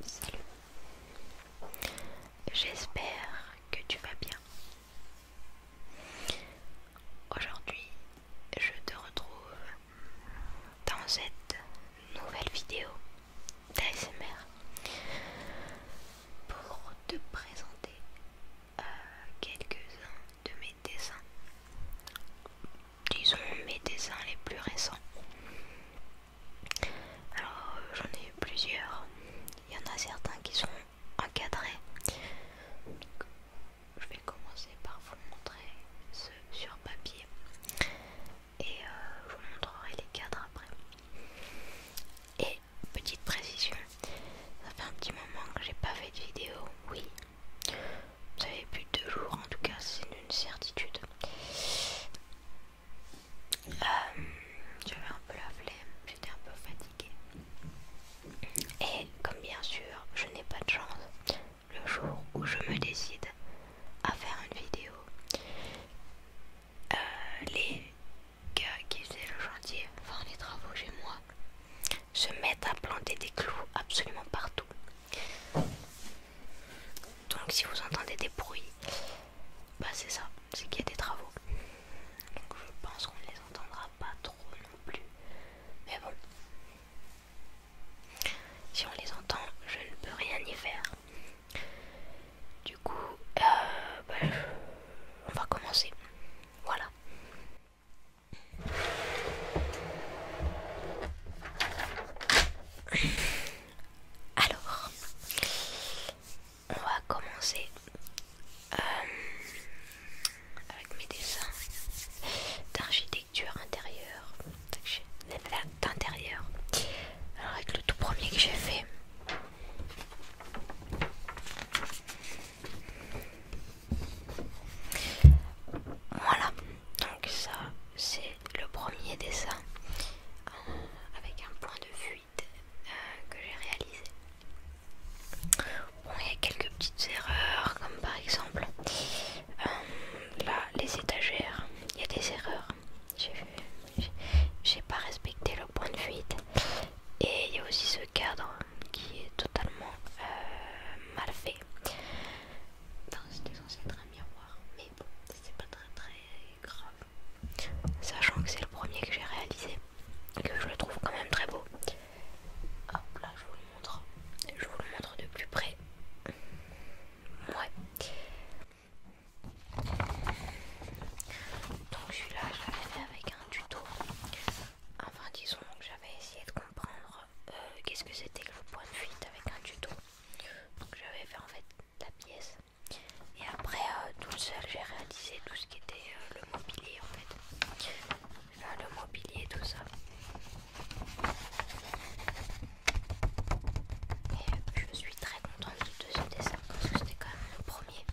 Salut, j'espère que tu vas bien. Aujourd'hui, je te retrouve dans cette nouvelle vidéo d'ASMR pour te présenter euh, quelques-uns de mes dessins disons mes dessins les plus récents. Alors euh, j'en ai eu plusieurs. Il y en a certains qui sont encadrés. je vais commencer par vous montrer ceux sur papier et euh, je vous montrerai les cadres après. Et petite précision, ça fait un petit moment que j'ai pas fait de vidéo. Oui, vous savez, plus de deux jours, en tout cas, c'est une certitude. Euh, j'avais un peu la flemme, j'étais un peu fatiguée. Et comme bien sûr, je n'ai pas de chance, le jour où je me décide à faire une vidéo, euh, les gars qui faisaient le chantier, enfin les travaux chez moi, se mettent à planter des clous absolument partout. Donc si vous entendez des bruits, bah c'est ça, c'est qu'il y a des travaux. Donc je pense qu'on ne les entendra pas trop non plus. Mais bon. Si on les entend, je ne peux rien y faire. Du coup, euh, bah, on va commencer. Voilà. Alors, on va commencer euh, avec mes dessins d'architecture intérieure. D'intérieur. Alors, avec le tout premier que j'ai fait. Voilà, donc ça c'est le premier dessin euh, avec un point de fuite euh, que j'ai réalisé. Bon, il y a quelques petites erreurs, comme par exemple euh, là les étagères, il y a des erreurs. J'ai pas respecté le point de fuite. Et il y a aussi ce cadre qui est totalement euh, mal fait. Enfin, c'était censé être un miroir, mais bon, c'est pas très très grave. Sachant que c'est le premier que j'ai réalisé et que je le trouve quand même très beau. Hop là, je vous le montre. Je vous le montre de plus près. Ouais. Donc celui-là, je l'avais fait avec un tuto. Enfin disons que j'avais essayé de comprendre euh, qu'est-ce que c'était que le point de fuite avec un tuto. Donc j'avais fait en fait la pièce. Et après euh, tout seul j'ai réalisé tout ce qui était euh, le mobilier en fait. enfin le mobilier tout ça. Et je suis très contente de ce dessin parce que c'était quand même le premier.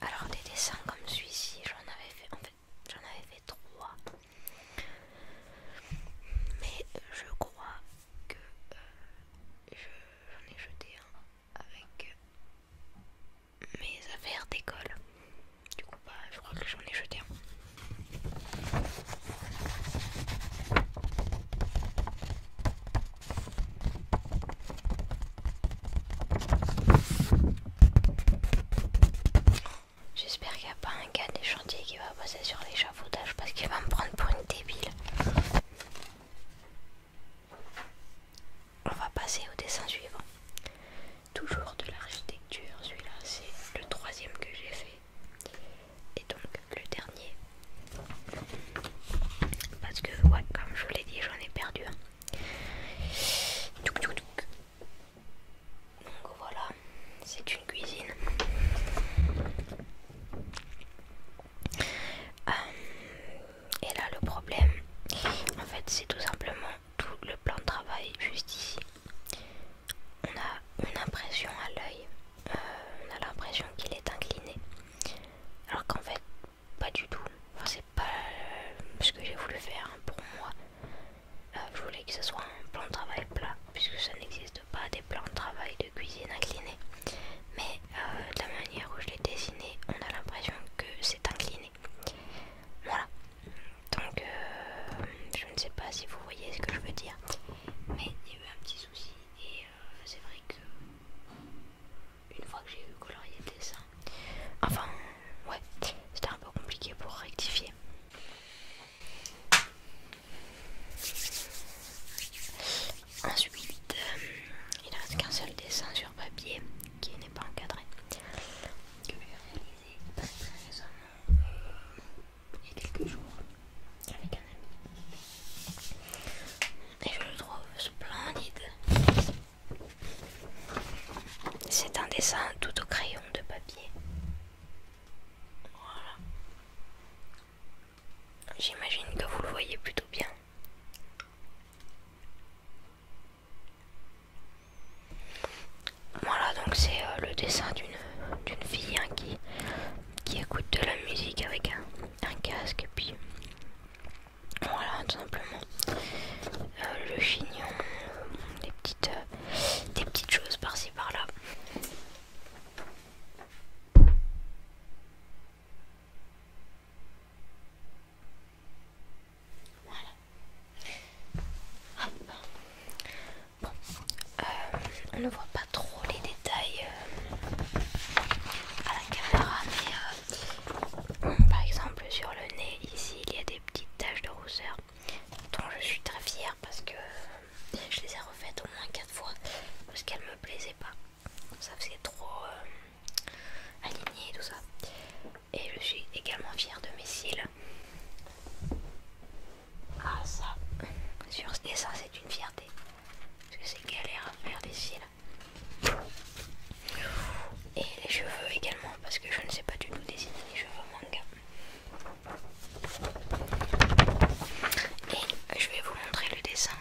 Alors des dessins comme celui-ci, j'en avais fait en fait j'en avais fait trois. Mais bah, je crois que j'en ai jeté un avec mes affaires d'école. Du coup je crois que j'en ai jeté un. J'espère qu'il n'y a pas un gars des chantiers qui va passer sur l'échafaudage parce qu'il va me prendre pour une débile. On va passer au dessin suivant. Toujours de l'architecture, celui-là c'est le troisième que j'ai fait. Et donc le dernier, parce que, comme je vous l'ai dit, j'en ai perdu. Donc voilà, c'est une cuisine. Euh, et là, le problème, en fait, c'est tout simplement tout le plan de travail juste ici. On a une impression à l'œil euh, on a l'impression qu'il est incliné. Alors qu'en fait, pas du tout. c'est pas euh, ce que j'ai voulu faire hein, pour moi. Euh, je voulais que ce soit un plan de travail plat, puisque ça n'existe pas des plans de travail de cuisine inclinés. Mais de la manière où je l'ai dessiné, on a l'impression que c'est incliné. Voilà. Donc, je ne sais pas si vous voyez ce que je veux dire, mais il y a eu un petit souci euh, c'est vrai que une fois que j'ai eu colorié le dessin, enfin ouais, c'était un peu compliqué pour rectifier. Ensuite, euh, il reste qu'un seul dessin sur papier qui n'est pas encadré. Que j'ai réalisé euh, il y a quelques jours avec un ami et je le trouve splendide. C'est un dessin tout au crayon de papier. Voilà. J'imagine que vous le voyez plutôt bien. Voilà, donc c'est euh, le dessin d'une fille hein, qui, qui écoute de la musique avec un, un casque et puis voilà tout simplement euh, le chignon euh, des petites euh, des petites choses par ci par là voilà euh, on ne voit pas trop les détails euh, à la caméra, mais euh, mm, par exemple sur le nez, ici il y a des petites taches de rousseur dont je suis très fière parce que je les ai refaites au moins 4 fois parce qu'elles ne me plaisaient pas. Ça faisait trop aligné et tout ça. Et je suis également fière de mes cils. Ah ça, sur et ça c'est une fierté. Parce que c'est galère à faire des cils. Et les cheveux également, parce que je ne sais pas du tout dessiner les cheveux manga. Et je vais vous montrer le dessin.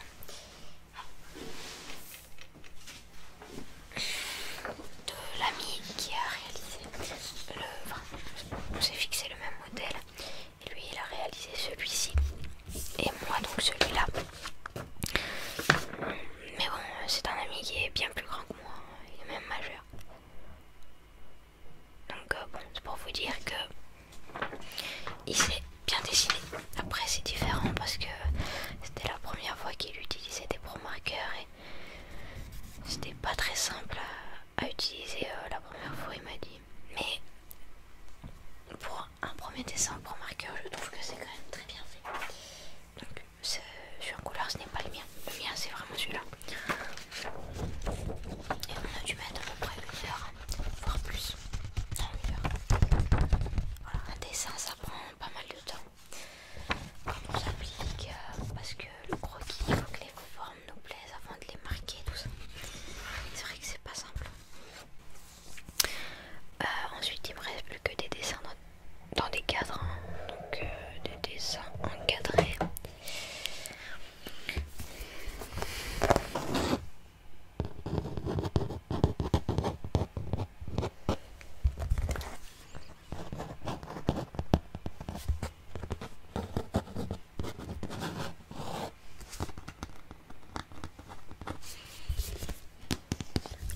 De l'ami qui a réalisé l'œuvre. on s'est fixé le même modèle lui, il a réalisé celui-ci. Et moi, donc celui-là. Mais bon, c'est un ami qui est bien plus grand que moi. Il est même majeur. Donc, euh, bon, c'est pour vous dire que il s'est bien dessiné. Après, c'est différent parce que c'était la première fois qu'il utilisait des pro marqueurs et c'était pas très simple à utiliser euh, la première fois, il m'a dit. Mais pour un premier dessin, pour marqueur, je trouve que c'est quand même très bien fait. Donc, sur en couleur, ce n'est pas le mien. Le mien, c'est vraiment celui-là. Et on a dû mettre à peu près une heure, voire plus. un dessin, ça prend pas mal de temps. Quand on s'applique, parce que le croquis, il faut que les formes nous plaisent avant de les marquer tout ça. C'est vrai que c'est pas simple. Euh, ensuite il me reste plus que des dessins dans, des cadres. Hein. Donc euh, des dessins encadrés.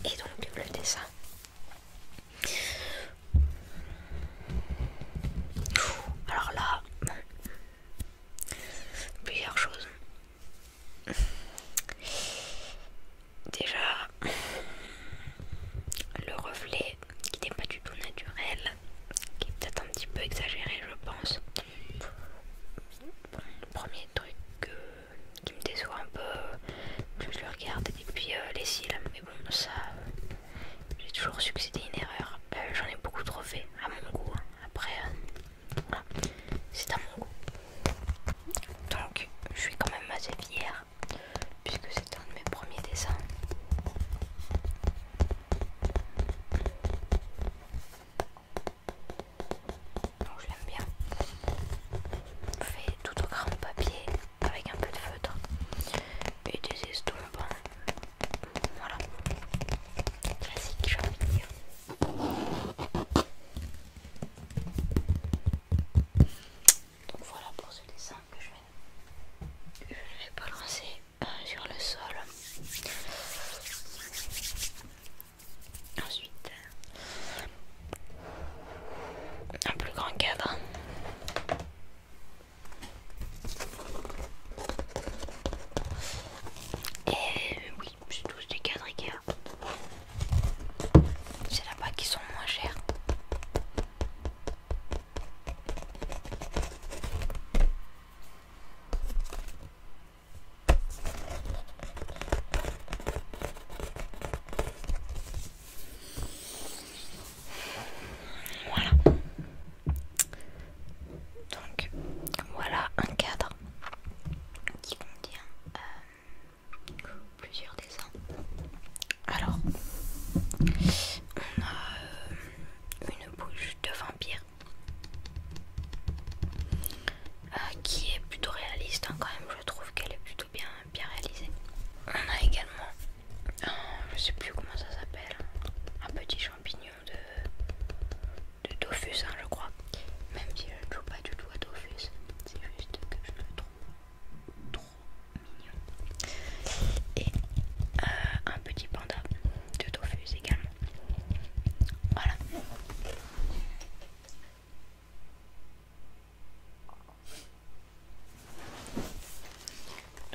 Et donc le dessin. Alors là, plusieurs chose, Déjà, le reflet qui n'est pas du tout naturel, qui est peut-être un petit peu exagéré je pense. le premier truc qui me déçoit un peu, je le regarde, et puis euh, les cils, mais bon ça, j'ai toujours succédé que une erreur, euh, j'en ai beaucoup trop fait, à mon goût, hein. après, euh, c'est à mon goût. Donc je suis quand même assez fière puisque c'est un de mes premiers dessins. Donc je l'aime bien. Fait tout au grand papier avec un peu de feutre et des estompes. Voilà. Classique, j'ai envie de dire. Donc voilà pour ce dessin que je vais, je vais balancer euh, sur le sol. Ensuite, un plus grand cadre. Et euh, oui, c'est tous des cadres Ikea. C'est là-bas qui sont moins chers. Voilà. Donc voilà un cadre qui contient euh, plusieurs dessins. Alors, on a euh, une bouche de vampire euh, qui est plutôt réaliste hein, quand même. Je trouve qu'elle est plutôt bien, bien réalisée. On a également, je sais plus comment ça s'appelle, un petit champignon de, de Dofus, hein, je crois. Même si je ne joue pas du tout à Dofus, c'est juste que je trouve trouve et euh, un petit panda de tofu également. Voilà.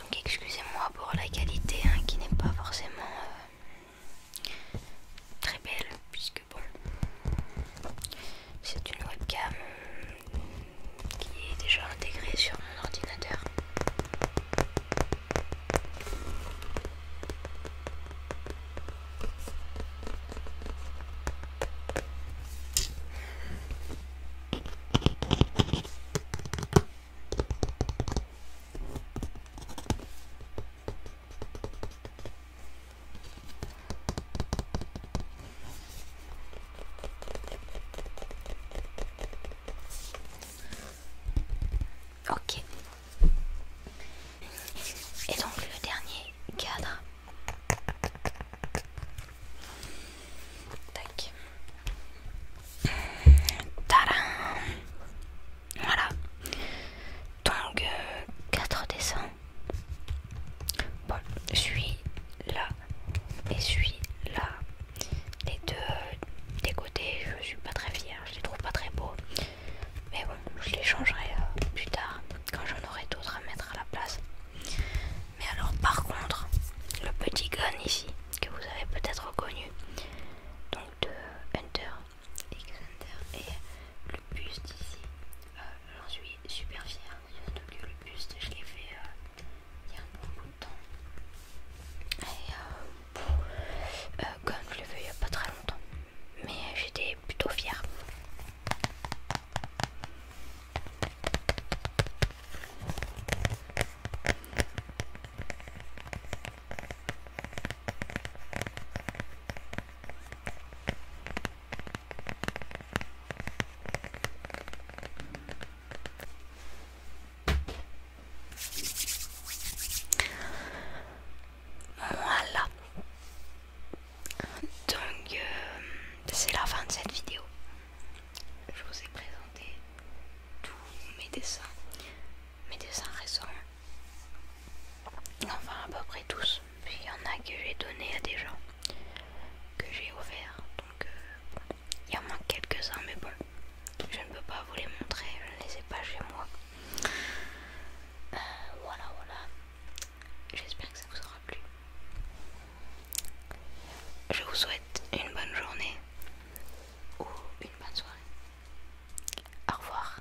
Donc excusez-moi pour la qualité hein, qui n'est pas forcément euh, très belle puisque bon c'est une webcam qui est déjà intégrée sur mon ordinateur. Ok. Et donc le dernier cadre. Voilà. Donc euh, quatre 4 dessins Bon, je suis là et je suis là. Les deux des côtés, je suis pas très fière, je les trouve pas très beaux. Mais bon, je les changerai euh, plus tard quand j'en aurai d'autres à mettre à la place. Mais alors, par contre, le petit gun ici, que vous avez peut-être reconnu, donc de Hunter X Hunter, et le buste ici, euh, j'en suis super fière surtout que le buste, je l'ai fait euh, il y a un bon bout de temps. Et euh, euh, comme je l'ai fait il n'y a pas très longtemps, mais j'étais plutôt fière. Voilà. Donc euh, c'est la fin de cette vidéo. Je vous ai présenté tous mes dessins. Mes dessins récents. Enfin à peu près tous puis il y en a que j'ai donné à des gens que j'ai offert donc euh, il y en manque quelques-uns mais bon je ne peux pas vous les montrer je ne les ai pas chez moi euh, voilà voilà j'espère que ça vous aura plu je vous souhaite une bonne journée ou une bonne soirée au revoir